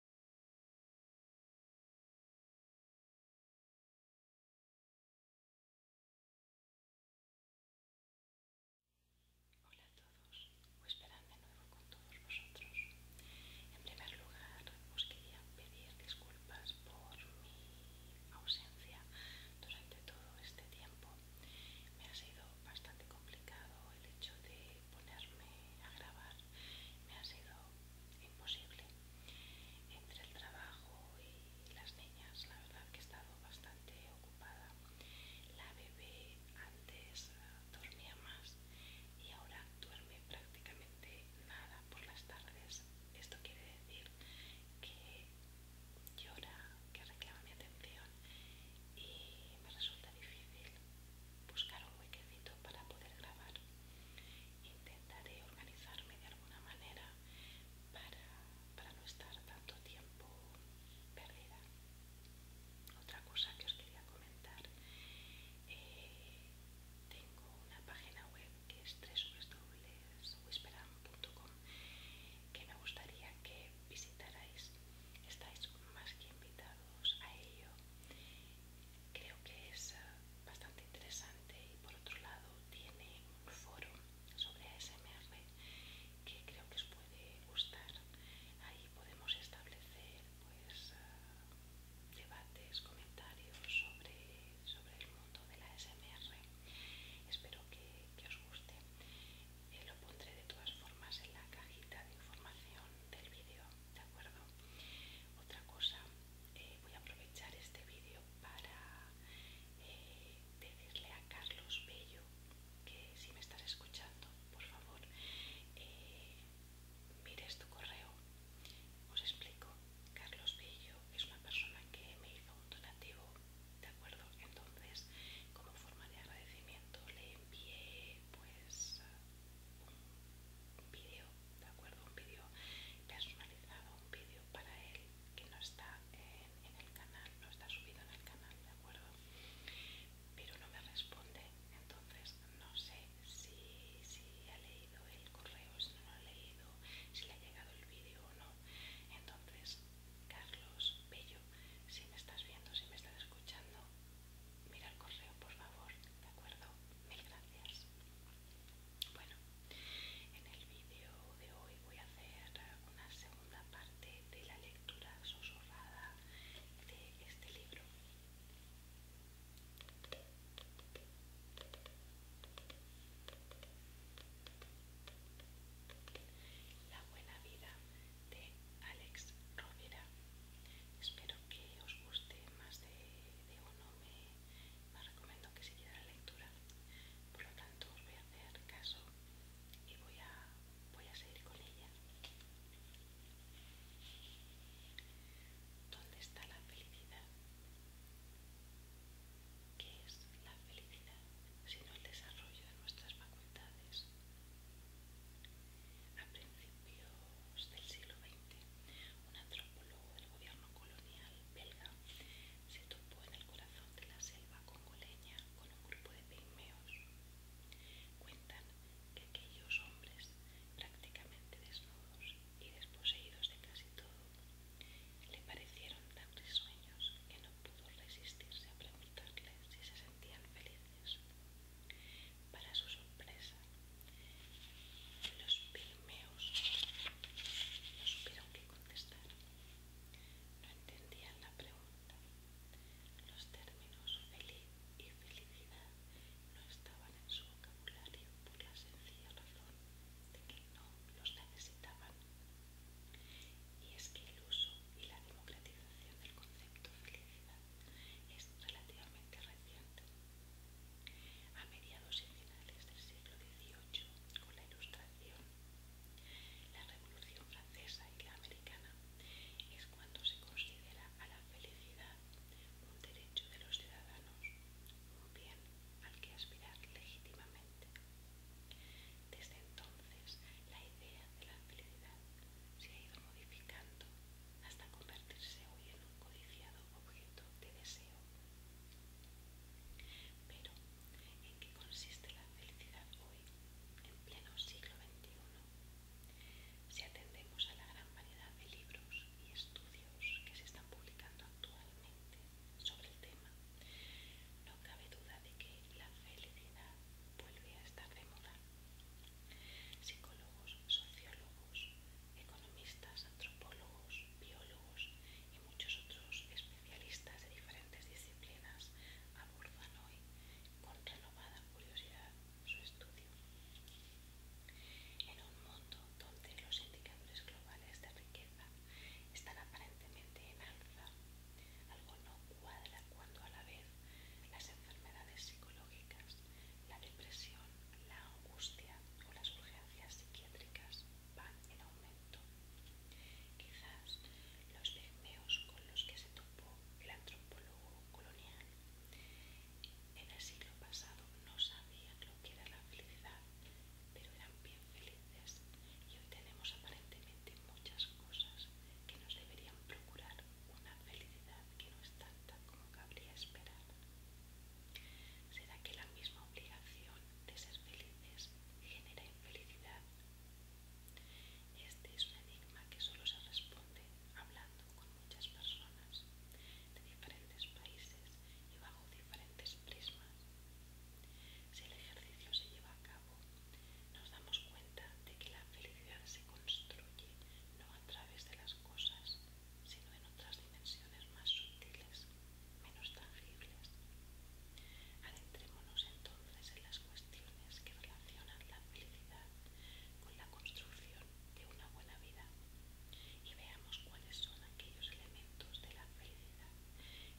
Hola a todos, esperando de nuevo con todos vosotros. En primer lugar, os quería pedir disculpas por mi ausencia durante todo este tiempo. Me ha sido bastante complicado el hecho de ponerme a grabar me ha sido imposible. Entre el trabajo y las niñas, la verdad que he estado bastante ocupada. La bebé antes eh, dormía más y ahora duerme prácticamente nada por las tardes. Esto quiere decir que llora, que reclama mi atención y me resulta difícil buscar un huequecito para poder grabar. Intentaré organizarme de alguna manera para, no estar tanto tiempo perdida. Otra cosa que os quería comentar, eh, tengo una página web que es www.whisperam.com que me gustaría que visitarais. Estáis más que invitados a ello. Creo que es eh, bastante interesante y por otro lado tiene un foro sobre ASMR que creo que os puede gustar. Ahí podemos establecer pues eh, debates, comentarios sobre, sobre el mundo de la SMR Espero que, que os guste lo pondré de todas formas en la cajita de información del vídeo, ¿de acuerdo? Otra cosa, eh, voy a aprovechar este vídeo para eh, decirle a Carlos Bello que si me estás escuchando, por favor, eh, mires tu correo. Os explico, Carlos Bello es una persona que me hizo un donativo, ¿de acuerdo? Entonces, como forma de agradecimiento, le envié pues un vídeo, ¿de acuerdo? Un vídeo personalizado, un vídeo para él que no está en, el canal, no está subido en el canal, ¿de acuerdo? Pero no me responde, entonces no sé si, si ha leído el correo, si no lo ha leído, si le ha llegado el vídeo o no. Entonces, Carlos Bello, si me estás viendo, si me estás escuchando, Mira el correo, por favor, ¿de acuerdo? Mil gracias. Bueno, en el vídeo de hoy voy a hacer una segunda parte de la lectura susurrada de este libro. La buena vida de Alex Rovira. Espero que os guste más de, uno. Me, recomiendo que sigáis la lectura. Por lo tanto, os voy a hacer caso y voy a, seguir con ella. ¿Dónde está la felicidad? ¿Qué es la felicidad Si no el desarrollo de nuestras facultades? A principios del siglo XX, un antropólogo del gobierno colonial belga se topó en el corazón de la selva congoleña con un grupo de pigmeos. Cuentan que aquellos hombres, prácticamente desnudos y desposeídos de casi todo, le parecieron tan risueños que no pudo resistirse a preguntarles si se sentían felices. Para su sorpresa, los no supieron qué contestar. No entendían la pregunta. Los términos feliz y felicidad no estaban en su vocabulario por la sencilla razón de que no los necesitaban. Y es que el uso y la democratización del concepto de felicidad es relativamente reciente. A mediados y finales del siglo XVIII, con la Ilustración, la Revolución Francesa y la Americana, es cuando se considera a la felicidad un derecho de los ciudadanos, un bien al que aspirar legítimamente. Desde entonces, la idea de la felicidad se ha ido modificando hasta convertirse hoy en un codiciado objeto de deseo. Pero, ¿en qué consiste la felicidad hoy, en pleno siglo XXI? Si atendemos a la gran variedad de libros y estudios que se están publicando actualmente sobre el tema, no cabe duda de que la felicidad vuelve a estar de moda. Psicólogos, sociólogos, economistas, antropólogos, biólogos y muchos otros especialistas de diferentes disciplinas abordan hoy con renovada curiosidad su estudio. En un mundo donde los indicadores globales de riqueza están aparentemente en alza algo no cuadra cuando a la vez las enfermedades psicológicas, la depresión, la angustia o las urgencias psiquiátricas van en aumento. Quizás los pigmeos con los que se topó el antropólogo colonial en el siglo pasado no sabían lo que era la felicidad pero eran bien felices y hoy tenemos aparentemente muchas cosas que nos deberían procurar una felicidad que no es tanta como cabría esperar. ¿Será que la misma obligación de ser felices genera infelicidad? Este es un enigma que solo se responde hablando con muchas personas de diferentes países y bajo diferentes si el ejercicio se lleva a cabo, nos damos cuenta de que la felicidad se construye no a través de las cosas, sino en otras dimensiones más sutiles, menos tangibles. Adentrémonos entonces en las cuestiones que relacionan la felicidad con la construcción de una buena vida y veamos cuáles son aquellos elementos de la felicidad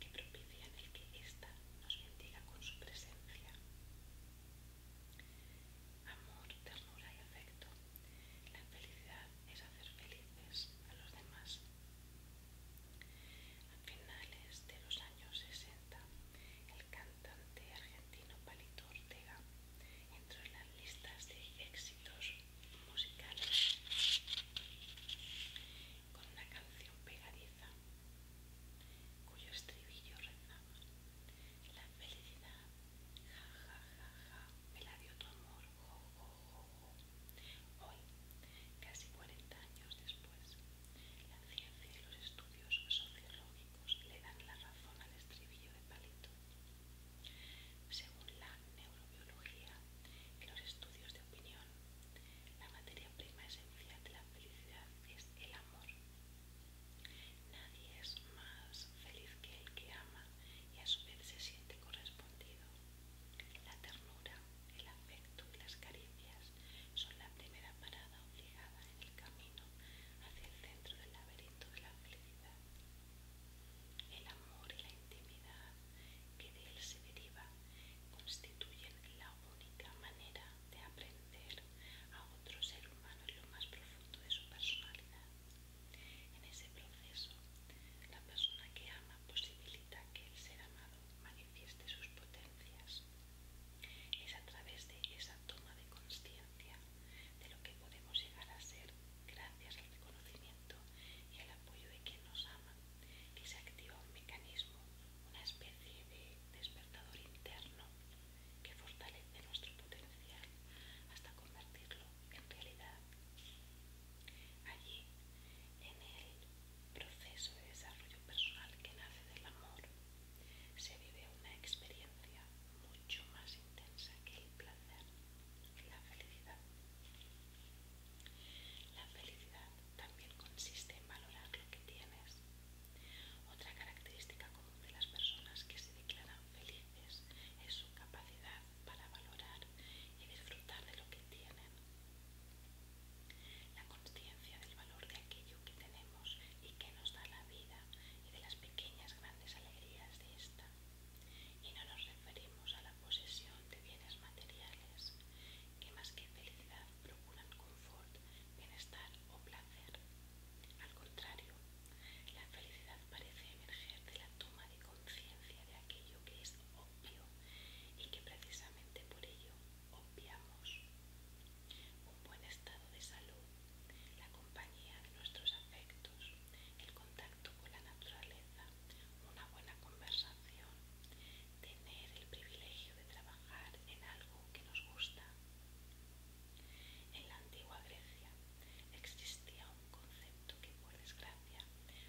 que propician el que ésta nos bendiga con su presencia. Amor, ternura y afecto. La felicidad es hacer felices a los demás. A finales de los años 60, el cantante argentino Palito Ortega entró en las listas de éxitos musicales con una canción pegadiza, cuyo estribillo la felicidad, ja me la dio tu amor, Hoy, casi 40 años después, la ciencia y los estudios sociológicos le dan la razón al estribillo de Palito. Según la neurobiología y los estudios de opinión, la materia prima esencial de la felicidad es el amor. Nadie es más feliz que el que ama y a su vez se siente correspondido. La ternura, el afecto y las caricias son la primera parada obligada en el camino hacia el centro del laberinto de la felicidad. El amor y la intimidad que de él se deriva constituyen la única manera de aprender a otro ser humano en lo más profundo de su personalidad. En ese proceso, la persona que ama posibilita que el ser amado manifieste sus potencias. Es a través de esa toma de conciencia de lo que podemos llegar a ser gracias al reconocimiento y el apoyo de quien nos ama que se activa un mecanismo, una especie de despertador interno que fortalece nuestro potencial hasta convertirlo en realidad. Allí, en el proceso de desarrollo personal que nace del amor, se vive una experiencia mucho más intensa que el placer, la felicidad. La felicidad también consiste en valorar lo que tienes. Otra característica común de las personas que se declaran felices es su capacidad para valorar y disfrutar de lo que tienen. La conciencia del valor de aquello que tenemos y que nos da la vida y de las pequeñas grandes alegrías de esta y no nos referimos a la posesión de bienes materiales que más que felicidad procuran confort, bienestar o placer. Al contrario, la felicidad parece emerger de la toma de conciencia de aquello que es obvio y que precisamente por ello obviamos. Un buen estado de salud, la compañía de nuestros afectos, el contacto con la naturaleza, una buena conversación, tener el privilegio de trabajar en algo que nos gusta. En la antigua Grecia existía un concepto que por desgracia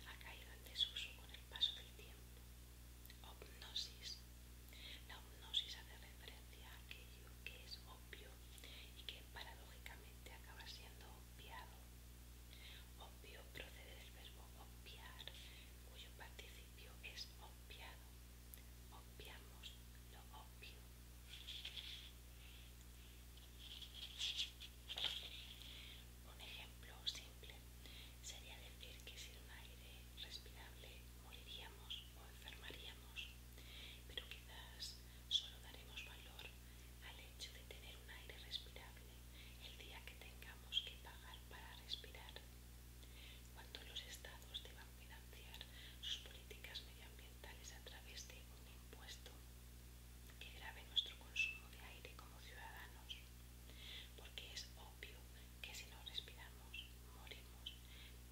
ha caído en desuso con el paso del tiempo, hipnosis. La hipnosis hace referencia a aquello que es obvio y que paradójicamente acaba siendo obviado Obvio procede del verbo obviar, cuyo participio es obviado. Obviamos lo obvio. Un ejemplo simple sería decir que sin un aire respirable moriríamos o enfermaríamos, pero quizás solo daremos valor al hecho de tener un aire respirable el día que tengamos que pagar para respirar. Cuando los estados deban financiar sus políticas medioambientales a través de un impuesto que grave nuestro consumo de aire como ciudadanos, porque es obvio que si no respiramos morimos,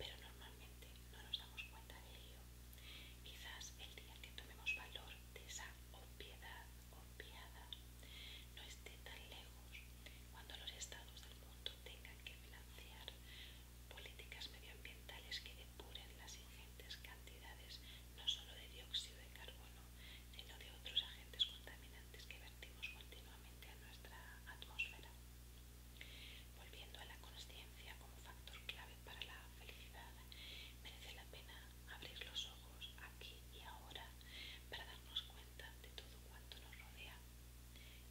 pero normalmente no nos damos cuenta de lío. Quizás el día que tomemos valor de esa obviedad obviada no esté tan lejos cuando los estados del mundo tengan que financiar políticas medioambientales que depuren las ingentes cantidades no solo de dióxido de carbono, sino de otros agentes contaminantes que vertimos continuamente a nuestra atmósfera. Volviendo a la conciencia como factor clave para la felicidad, merece la pena abrir los ojos aquí y ahora para darnos cuenta de todo cuanto nos rodea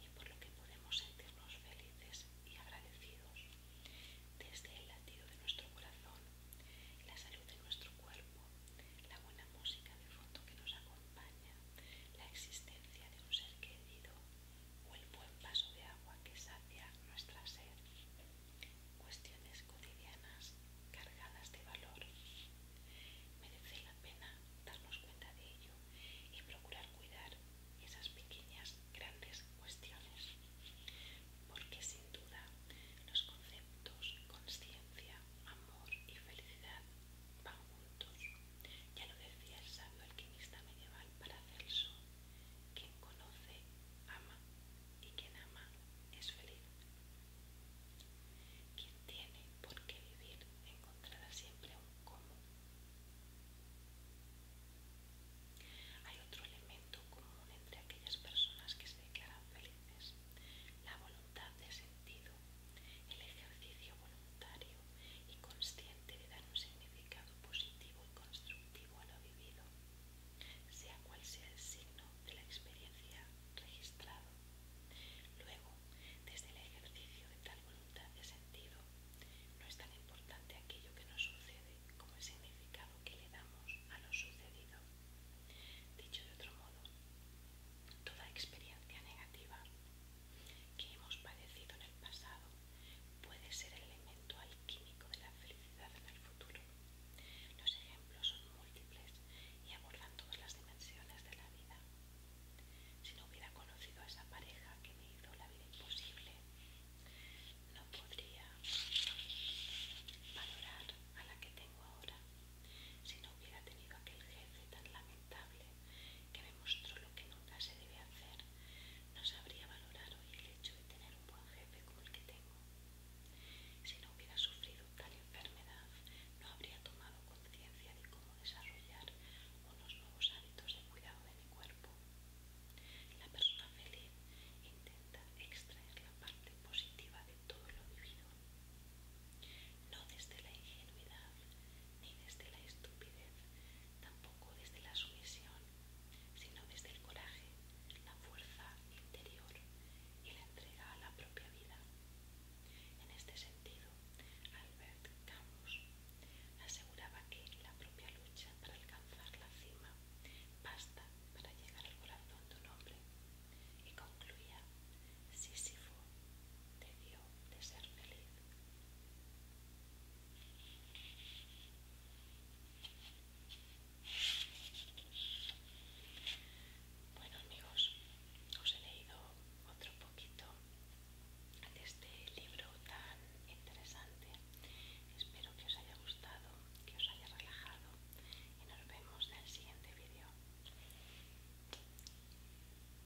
y por lo que podemos sentirnos felices y agradecidos desde el latido de nuestro corazón, la salud de nuestro cuerpo, la buena música de fondo que nos acompaña, la existencia de un ser querido, o el buen vaso de agua que sacia nuestra sed. Cuestiones cotidianas cargadas de valor. Merece la pena darnos cuenta de ello y procurar cuidar esas pequeñas, grandes cuestiones, porque sin duda los conceptos conciencia, amor y felicidad van juntos. Ya lo decía el sabio alquimista medieval Paracelso, quien conoce ama y quien ama es feliz. Quien tiene por qué vivir encontrará siempre un cómo. Hay otro elemento común entre aquellas personas que se quedan felices, la voluntad de sentido, el ejercicio voluntario y consciente de dar un significado positivo y constructivo a lo vivido, sea cual sea el signo de la experiencia registrado. Luego, desde el ejercicio de tal voluntad de sentido, no es tan importante aquello que nos sucede como el significado que le damos a lo sucedido. Dicho de otro modo, toda experiencia negativa que hemos padecido en el pasado puede ser el elemento alquímico de la felicidad en el futuro. Los ejemplos son múltiples y abordan todas las dimensiones de la vida. Si no hubiera conocido a esa pareja que me hizo la vida imposible, no podría valorar a la que tengo ahora. Si no hubiera tenido aquel jefe tan lamentable, que me mostró lo que nunca se debe hacer, no sabría valorar hoy el hecho de tener un buen jefe como el que tengo. Si no hubiera sufrido tal enfermedad, no habría tomado conciencia de cómo desarrollar unos nuevos hábitos de cuidado de mi cuerpo. La persona feliz intenta extraer la parte positiva de todo lo vivido, no desde la ingenuidad ni desde la estupidez, tampoco desde la sumisión, sino desde el coraje, la fuerza interior y la entrega a la propia vida. En este sentido, Albert Camus aseguraba que la propia lucha para alcanzar la cima basta para llegar al corazón de un hombre y concluía, Sísifo debió de ser feliz. Bueno amigos, os he leído otro poquito de este libro tan interesante. Espero que os haya gustado, que os haya relajado y nos vemos en el siguiente vídeo.